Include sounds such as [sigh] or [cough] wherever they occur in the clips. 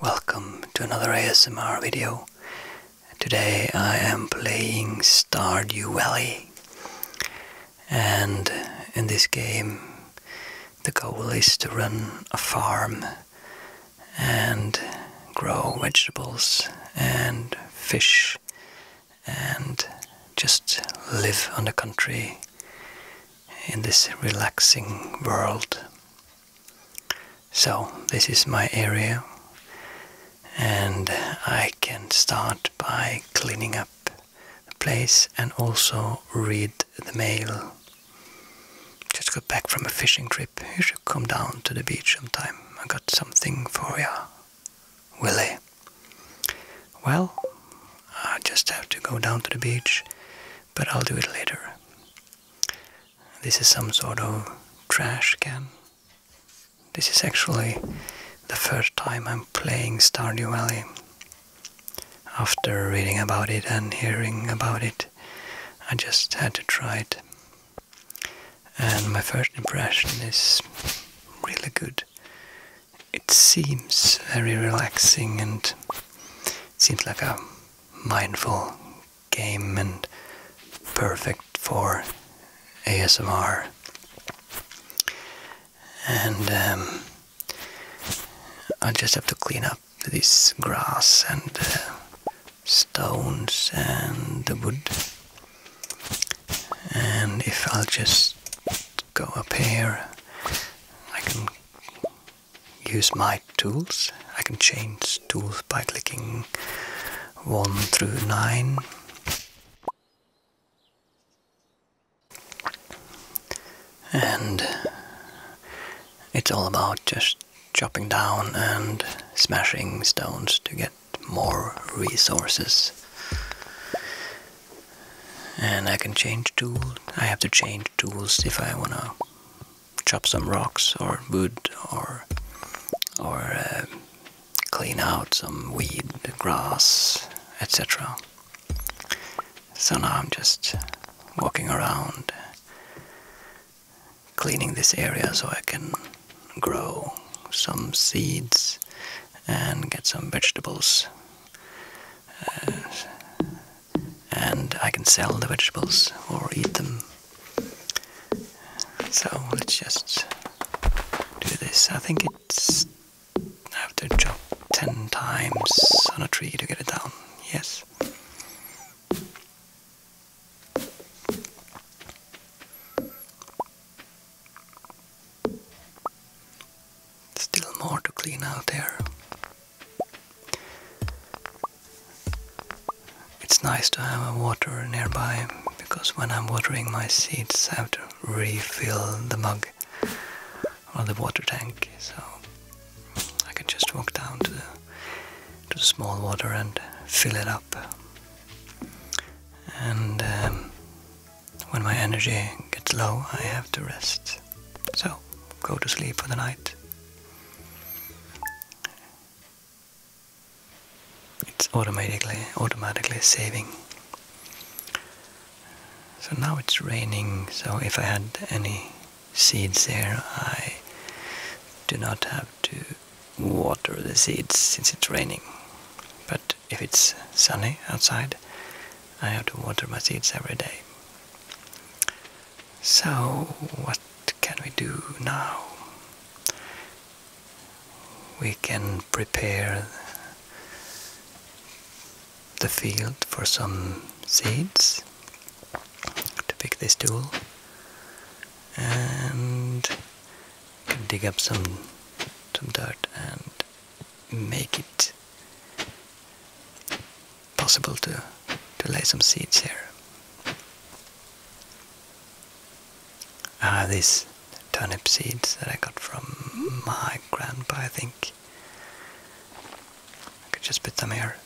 Welcome to another ASMR video. Today I am playing Stardew Valley. And in this game the goal is to run a farm and grow vegetables and fish and just live on the country in this relaxing world. So, this is my area, and I can start by cleaning up the place and also read the mail. Just got back from a fishing trip. You should come down to the beach sometime. I got something for ya, Willie. Well, I just have to go down to the beach but I'll do it later. This is some sort of trash can. This is actually the first time I'm playing Stardew Valley. After reading about it and hearing about it, I just had to try it. And my first impression is really good it seems very relaxing and seems like a mindful game and perfect for ASMR. And um, I just have to clean up this grass and uh, stones and the wood. And if I'll just go up here, I can use my tools. I can change tools by clicking 1 through 9. And it's all about just chopping down and smashing stones to get more resources and I can change tools. I have to change tools if I want to chop some rocks or wood or or uh, clean out some weed, grass, etc. So now I'm just walking around cleaning this area so I can grow some seeds and get some vegetables. Uh, and I can sell the vegetables or eat them. So let's just do this. I think it's I have to chop ten times on a tree to get it down. Yes. Still more to clean out there. It's nice to have a water nearby because when I'm watering my seeds I have to refill the mug or the water tank so I can just walk down to the, small water and fill it up. And um, when my energy gets low I have to rest. So go to sleep for the night. It's automatically automatically saving. So now it's raining, so if I had any seeds there, I do not have to water the seeds since it's raining. But if it's sunny outside, I have to water my seeds every day. So, what can we do now? We can prepare the field for some seeds to pick this tool and dig up some some dirt and make it possible to, to lay some seeds here. Ah, these turnip seeds that I got from my grandpa, I think. I could just put them here.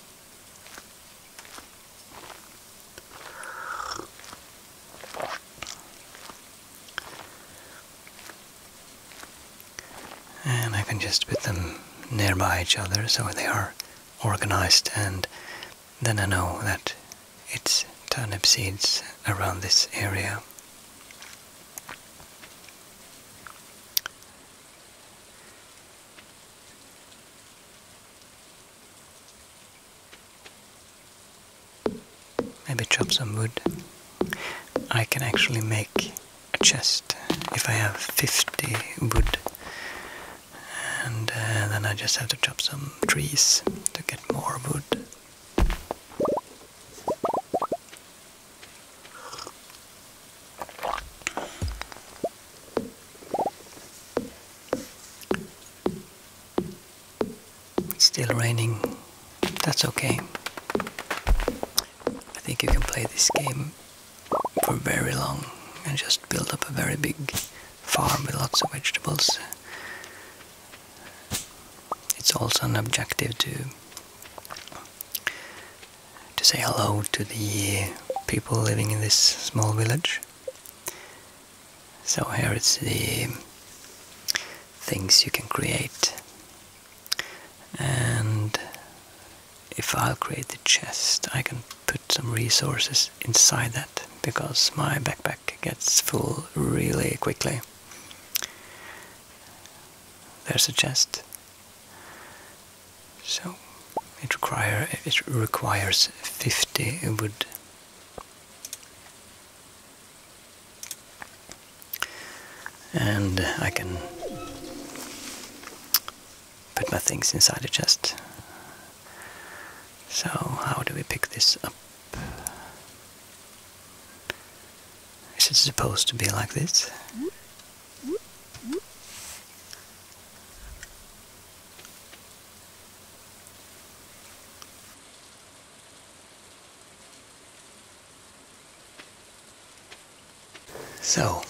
And I can just put them nearby each other so they are organized and then I know that it's turnip seeds around this area. Maybe chop some wood. I can actually make chest if I have 50 wood and uh, then I just have to chop some trees to get more wood. It's still raining, that's okay. I think you can play this game for very long and just build up a very big farm with lots of vegetables. It's also an objective to to say hello to the people living in this small village. So here it's the things you can create and if I'll create the chest I can put some resources inside that because my backpack gets full really quickly. There's a chest. So it require it requires 50 wood and I can put my things inside the chest. So how do we pick this up? Is it supposed to be like this? So,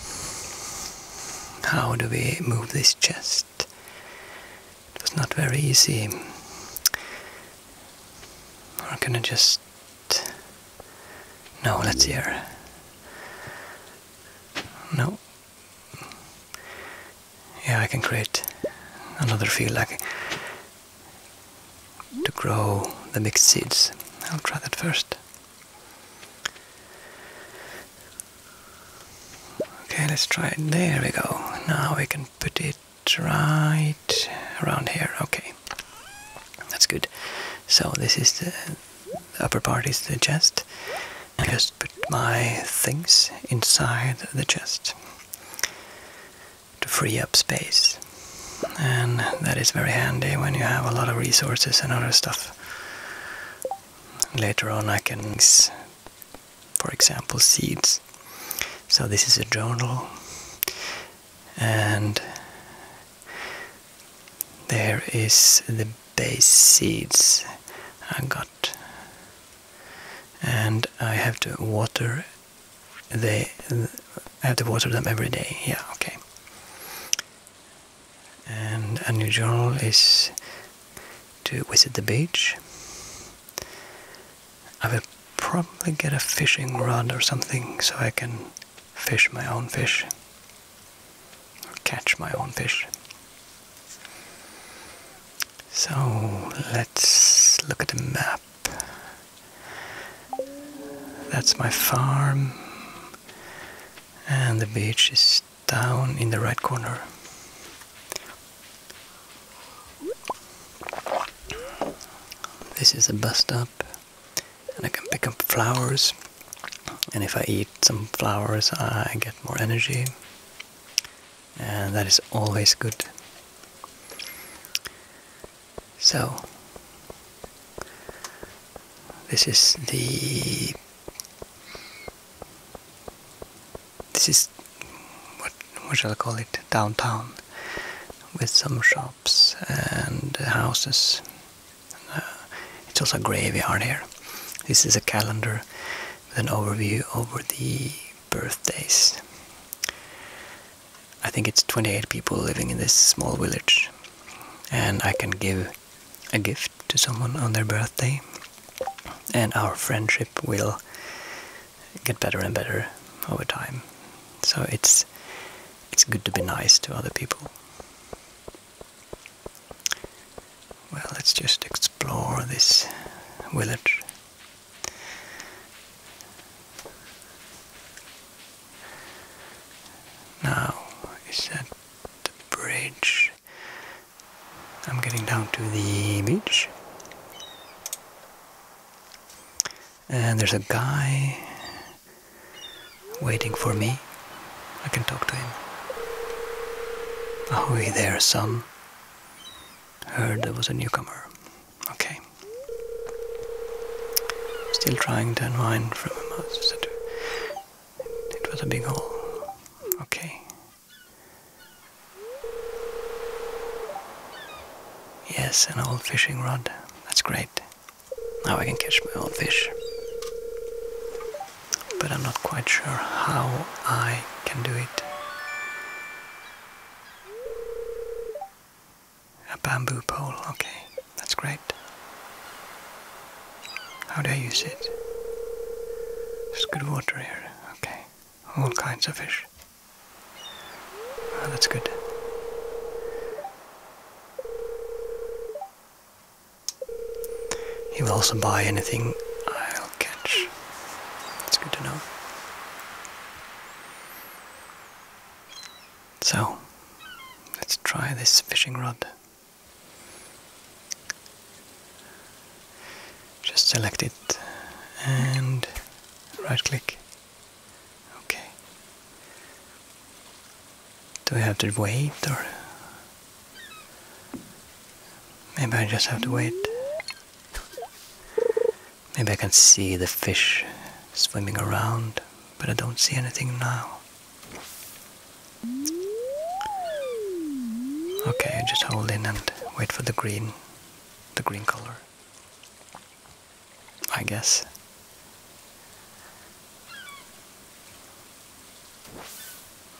how do we move this chest? It's not very easy. We're gonna just... No, let's hear. No. Yeah, I can create another field like to grow the mixed seeds. I'll try that first. Okay, let's try it. There we go. Now we can put it right around here. Okay, that's good. So this is the, upper part is the chest. I just put my things inside the chest to free up space and that is very handy when you have a lot of resources and other stuff. Later on I can for example, seeds. So this is a journal and there is the base seeds I got and I have to water they I have to water them every day. Yeah, okay. And a new journal is to visit the beach. I will probably get a fishing rod or something so I can fish my own fish catch my own fish. So let's look at the map. That's my farm. And the beach is down in the right corner. This is a bus stop. And I can pick up flowers. And if I eat some flowers, I get more energy. And that is always good. So, this is the this is what what shall I call it downtown with some shops and houses. Uh, it's also a graveyard here. This is a calendar with an overview over the birthdays. I think it's 28 people living in this small village, and I can give a gift to someone on their birthday, and our friendship will get better and better over time. So it's it's good to be nice to other people. Well, let's just explore this village. Now is that the bridge? I'm getting down to the beach. And there's a guy waiting for me. I can talk to him. we oh, there, son. Heard there was a newcomer. Okay. Still trying to unwind from a mouse. It was a big hole. Okay. Yes, an old fishing rod. That's great. Now I can catch my own fish. But I'm not quite sure how I can do it. A bamboo pole, okay, that's great. How do I use it? There's good water here, okay. All kinds of fish. Ah, that's good. He will also buy anything I'll catch. That's good to know. So, let's try this fishing rod. Just select it and right click. Okay. Do I have to wait or maybe I just have to wait? Maybe I can see the fish swimming around but I don't see anything now. Okay, just hold in and wait for the green, the green color. I guess.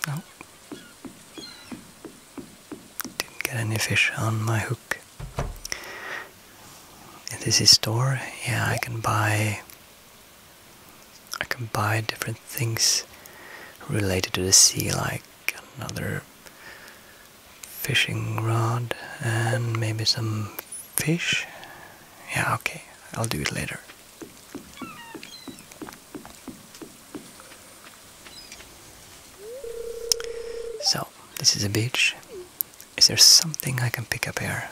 No. Didn't get any fish on my hook in this store yeah I can buy I can buy different things related to the sea like another fishing rod and maybe some fish yeah okay I'll do it later so this is a beach is there something I can pick up here?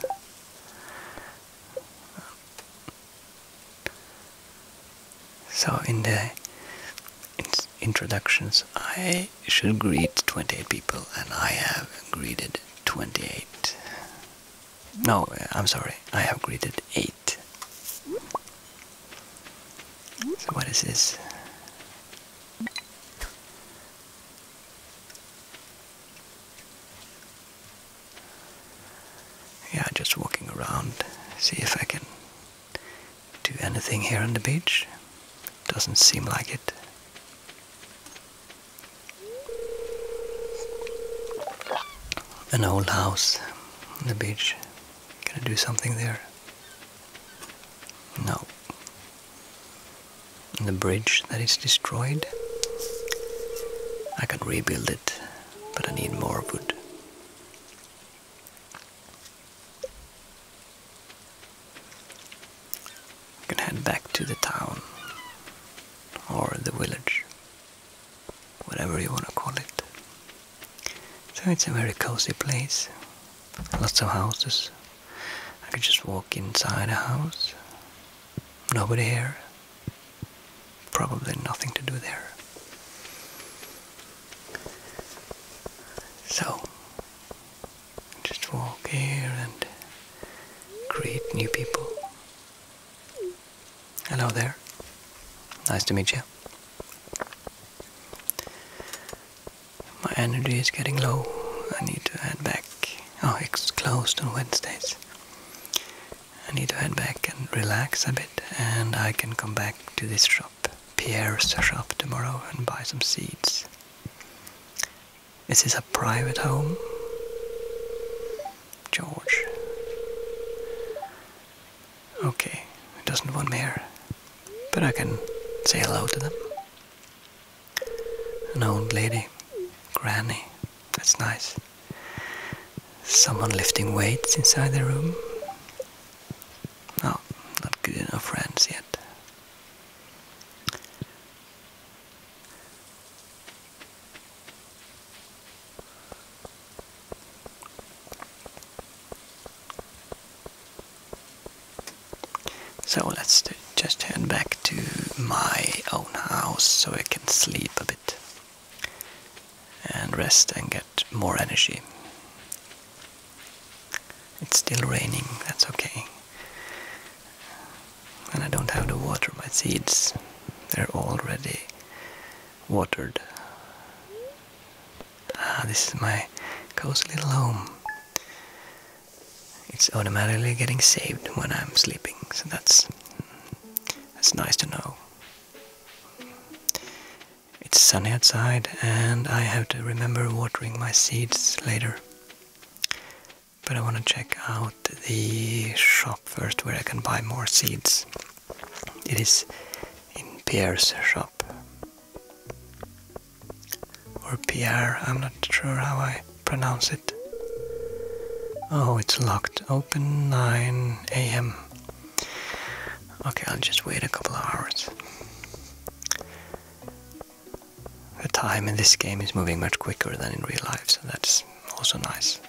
So in the introductions, I should greet 28 people, and I have greeted 28. No, I'm sorry, I have greeted 8. So what is this? Yeah, just walking around, see if I can do anything here on the beach. Doesn't seem like it. An old house on the beach. Can I do something there? No, and the bridge that is destroyed. I can rebuild it, but I need more wood. I can head back to the town or the village, whatever you want to call it. So it's a very cozy place, lots of houses. I could just walk inside a house Nobody here. Probably nothing to do there. So, just walk here and greet new people. Hello there. Nice to meet you. My energy is getting low. I need to head back Oh, it's closed on Wednesdays. I need to head back and relax a bit, and I can come back to this shop, Pierre's shop, tomorrow and buy some seeds. This Is a private home? George. Okay, it doesn't want me here, but I can say hello to them. An old lady, granny, that's nice. Someone lifting weights inside the room. No, not good enough friends yet. So let's just turn back to my own house so I can sleep a bit and rest and get more energy. It's still raining, that's okay. And I don't have to water my seeds, they're already watered. Ah, this is my cozy little home it's automatically getting saved when I'm sleeping, so that's that's nice to know. It's sunny outside, and I have to remember watering my seeds later. But I want to check out the shop first where I can buy more seeds. It is in Pierre's shop or Pierre, I'm not sure how I pronounce it. Oh, it's locked. Open 9 a.m. Okay, I'll just wait a couple of hours. The time in this game is moving much quicker than in real life, so that's also nice.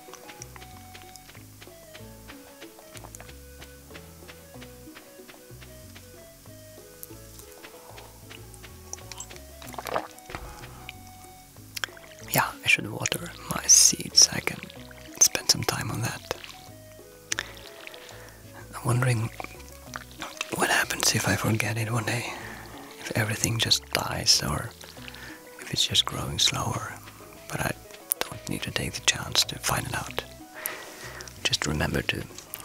Yeah, I should water my seeds. I can spend some time on that. I'm wondering what happens if I forget it one day. If everything just dies or if it's just growing slower. But I don't need to take the chance to find it out. Just remember to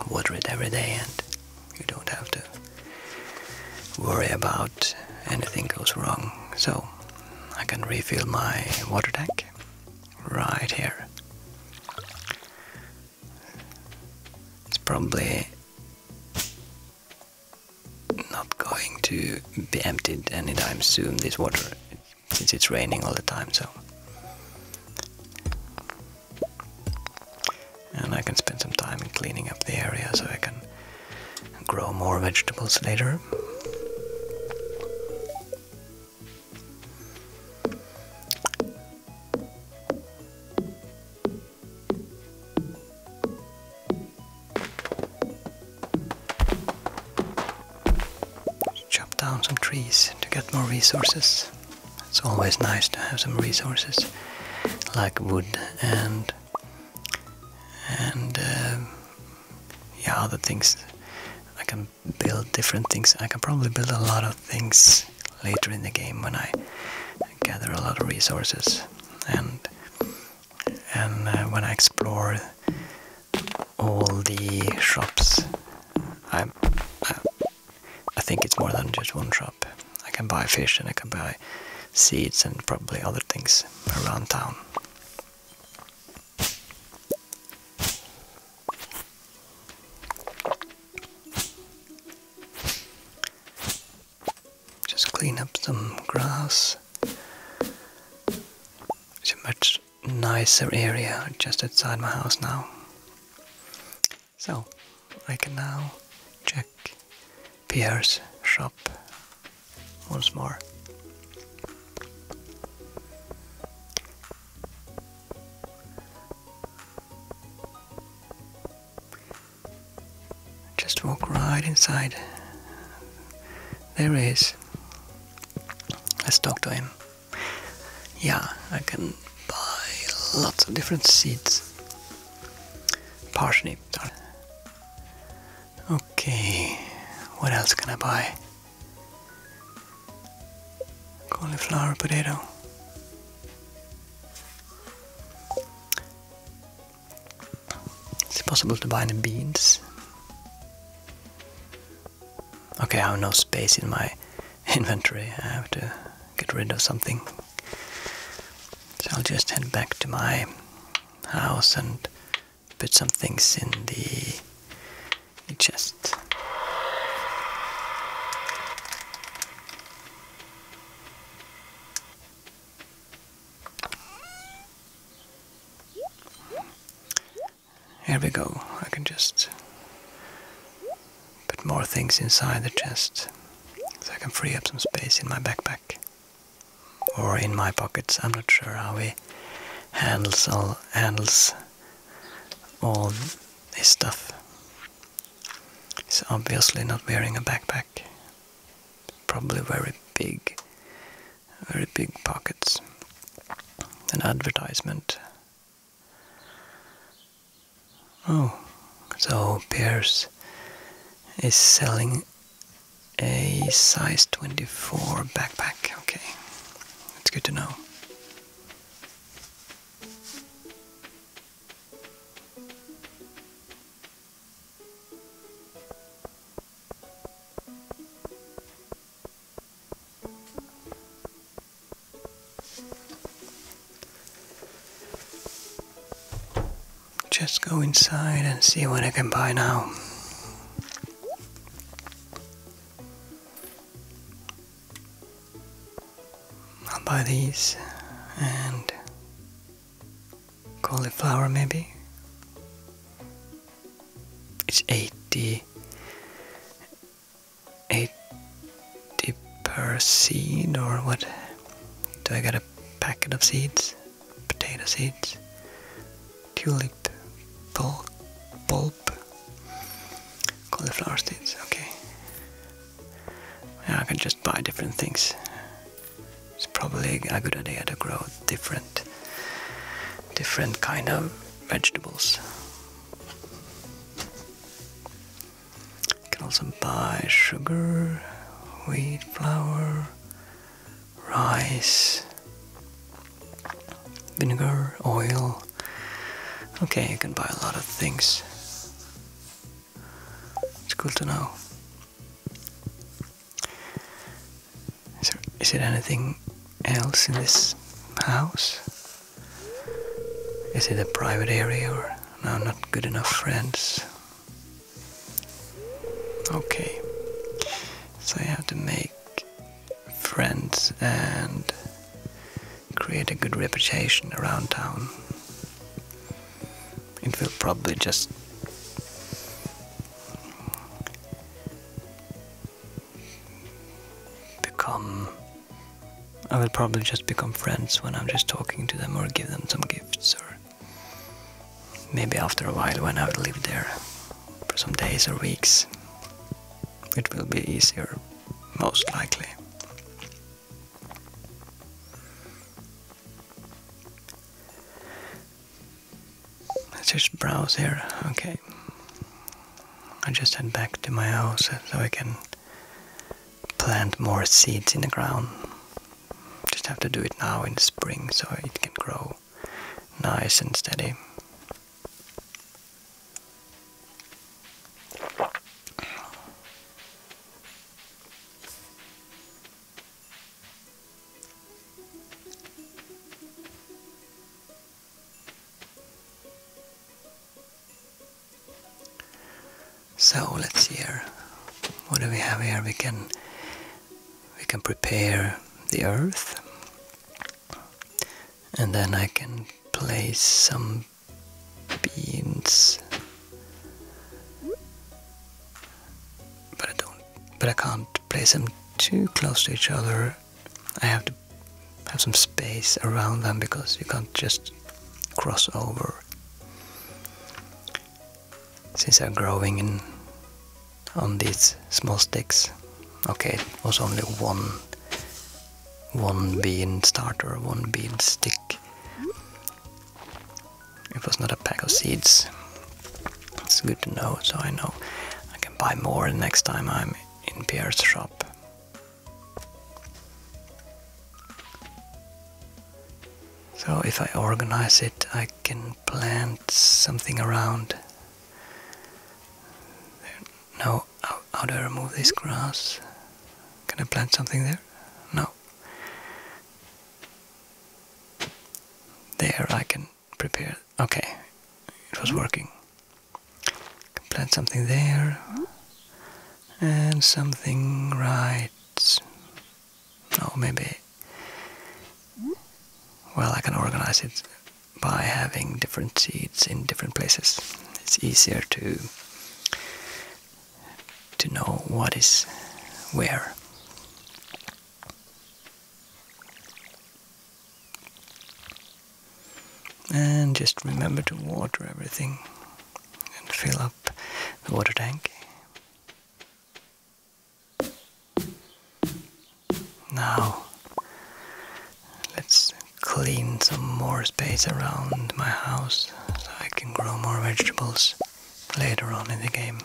water it every day and you don't have to worry about anything goes wrong. So I can refill my water tank right here. It's probably not going to be emptied anytime soon, this water, since it's raining all the time, so and I can spend some time in cleaning up the area so I can grow more vegetables later. Chop down some trees to get more resources. It's always nice to have some resources like wood and and um, yeah other things. I can build different things. I can probably build a lot of things later in the game when I gather a lot of resources and and uh, when I explore all the shops I, I, I think it's more than just one shop I can buy fish and I can buy seeds and probably other things around town. Just clean up some grass. It's a much nicer area just outside my house now. So I can now check Pierre's shop once more. Just walk right inside. There he is. Let's talk to him. Yeah, I can by lots of different seeds. Parsnip. Okay, what else can I buy? Cauliflower potato. Is it possible to buy any beans? Okay, I have no space in my [laughs] inventory. I have to get rid of something. So I'll just head back to my house and put some things in the, chest. Here we go. I can just put more things inside the chest so I can free up some space in my backpack or in my pockets. I'm not sure how we handles all, handles all this stuff. He's obviously not wearing a backpack. Probably very big, very big pockets. An advertisement. Oh, so Pierce is selling a size 24 backpack. Okay, it's good to know. Just go inside and see what I can buy now. I'll buy these and cauliflower maybe. It's eighty eight deeper seed or what? Do I get a packet of seeds? Potato seeds? Tulip bulb? bulb. Cauliflower seeds, okay. Yeah, I can just buy different things. It's probably a good idea to grow different different kind of vegetables. You can also buy sugar, wheat flour, rice, vinegar, oil. Okay, you can buy a lot of things. It's cool to know. Is there anything else in this house? Is it a private area or? No, not good enough friends. Okay. So I have to make friends and create a good reputation around town. It will probably just become I will probably just become friends when I'm just talking to them or give them some gifts or maybe after a while when i will live there for some days or weeks it will be easier most likely. Let's just browse here. Okay. I just head back to my house so I can plant more seeds in the ground. Just have to do it now in the spring so it can grow nice and steady. So let's see here. What do we have here? We can we can prepare the earth, and then I can place some beans. But I don't. But I can't place them too close to each other. I have to have some space around them because you can't just cross over since I'm growing on these small sticks. Okay, it was only one one bean starter, one bean stick. It was not a pack of seeds. It's good to know, so I know I can buy more next time I'm in Pierre's shop. So if I organize it, I can plant something around. There, no, how, do I remove this grass? Can I plant something there? No. There I can prepare. Okay, it was working. can plant something there and something right no maybe well I can organize it by having different seeds in different places. It's easier to to know what is where. And just remember to water everything and fill up the water tank. Now, let's clean some more space around my house so I can grow more vegetables later on in the game.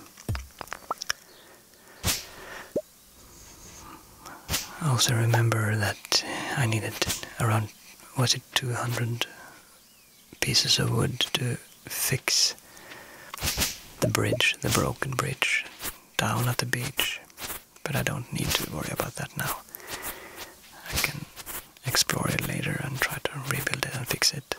also remember that I needed around, was it 200 pieces of wood to fix the bridge, the broken bridge, down at the beach. But I don't need to worry about that now. I can explore it later and try to rebuild it and fix it.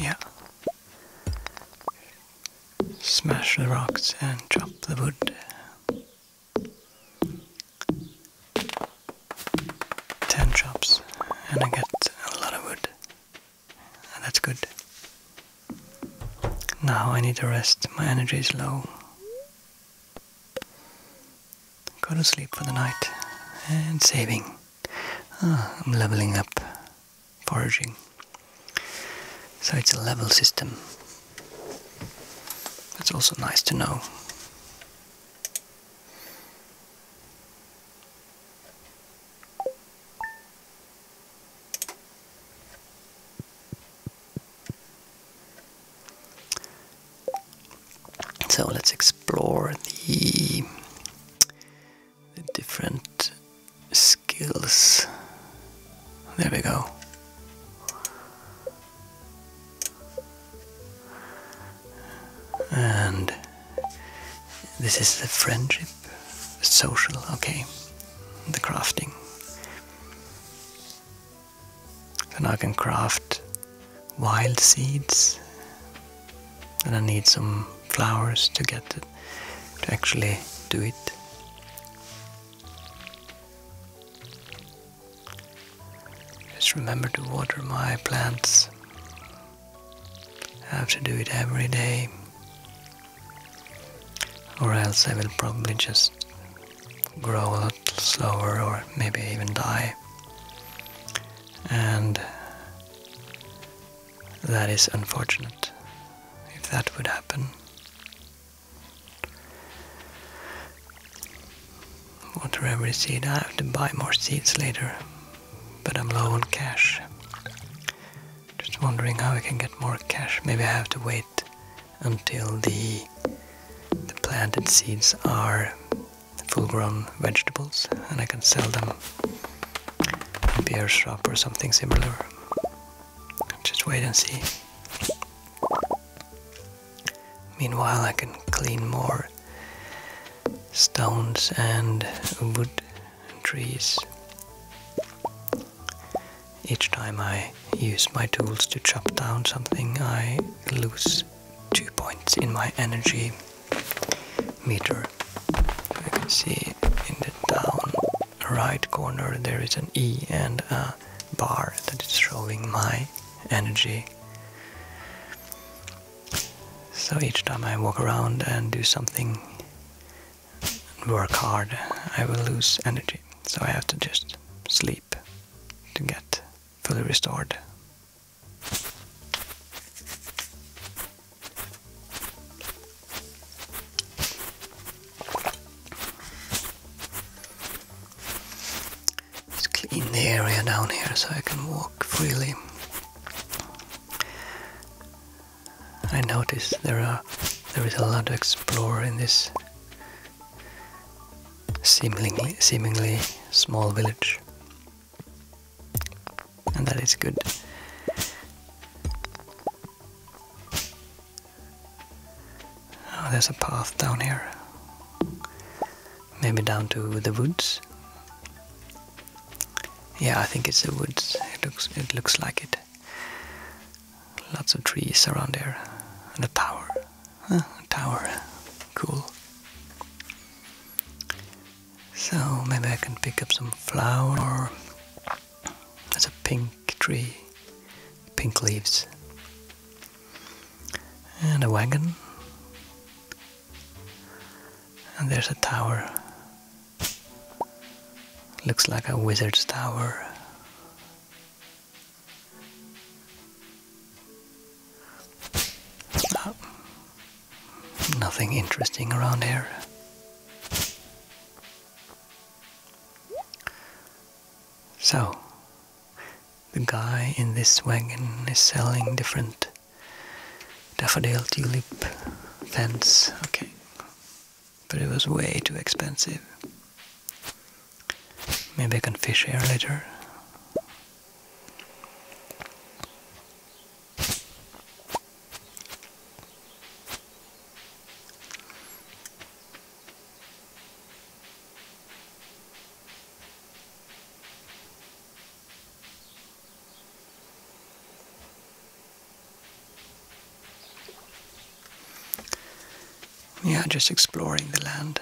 Yeah. Smash the rocks and chop the wood. Ten chops, and I get a lot of wood. That's good. Now I need to rest, my energy is low. Go to sleep for the night and saving. Ah, I'm leveling up foraging. So it's a level system. That's also nice to know. So let's explore the the different skills. There we go. And this is the friendship, social, okay, the crafting. So now I can craft wild seeds and I need some flowers to get it to actually do it. Just remember to water my plants. I have to do it every day, or else I will probably just grow a lot slower or maybe even die. And that is unfortunate if that would happen. Water every seed. I have to buy more seeds later, but I'm low on cash. Just wondering how I can get more cash. Maybe I have to wait until the the planted seeds are full-grown vegetables and I can sell them beer shop or something similar. Just wait and see. Meanwhile, I can clean more stones and wood trees each time I use my tools to chop down something, I lose two points in my energy meter. You can see in the down right corner there is an E and a bar that is showing my energy. So each time I walk around and do something, work hard, I will lose energy. So I have to just sleep to get fully restored. Let's clean the area down here so I can walk freely. I notice there are there is a lot to explore in this seemingly seemingly small village and that is good. Oh, there's a path down here. Maybe down to the woods. Yeah, I think it's the woods. It looks it looks like it. Lots of trees around there. And a tower. a tower. Cool. So maybe I can pick up some flower. That's a pink tree, pink leaves. And a wagon. And there's a tower. Looks like a wizard's tower. Oh. Nothing interesting around here. So, the guy in this wagon is selling different daffodil tulip fence. Okay. But it was way too expensive. Maybe I can fish here later. Yeah, just exploring the land.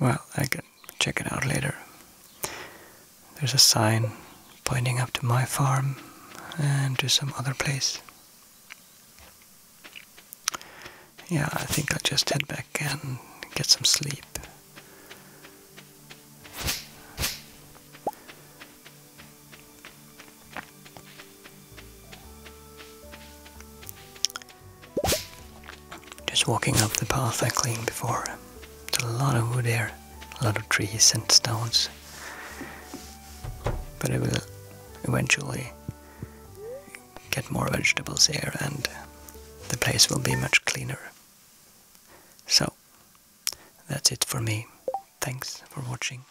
Well, I can check it out later. There's a sign pointing up to my farm and to some other place. Yeah, I think I'll just head back and get some sleep. Just walking up the path I cleaned before. It's a lot of wood there, a lot of trees and stones. But I will eventually get more vegetables here and the place will be much cleaner. So, that's it for me. Thanks for watching.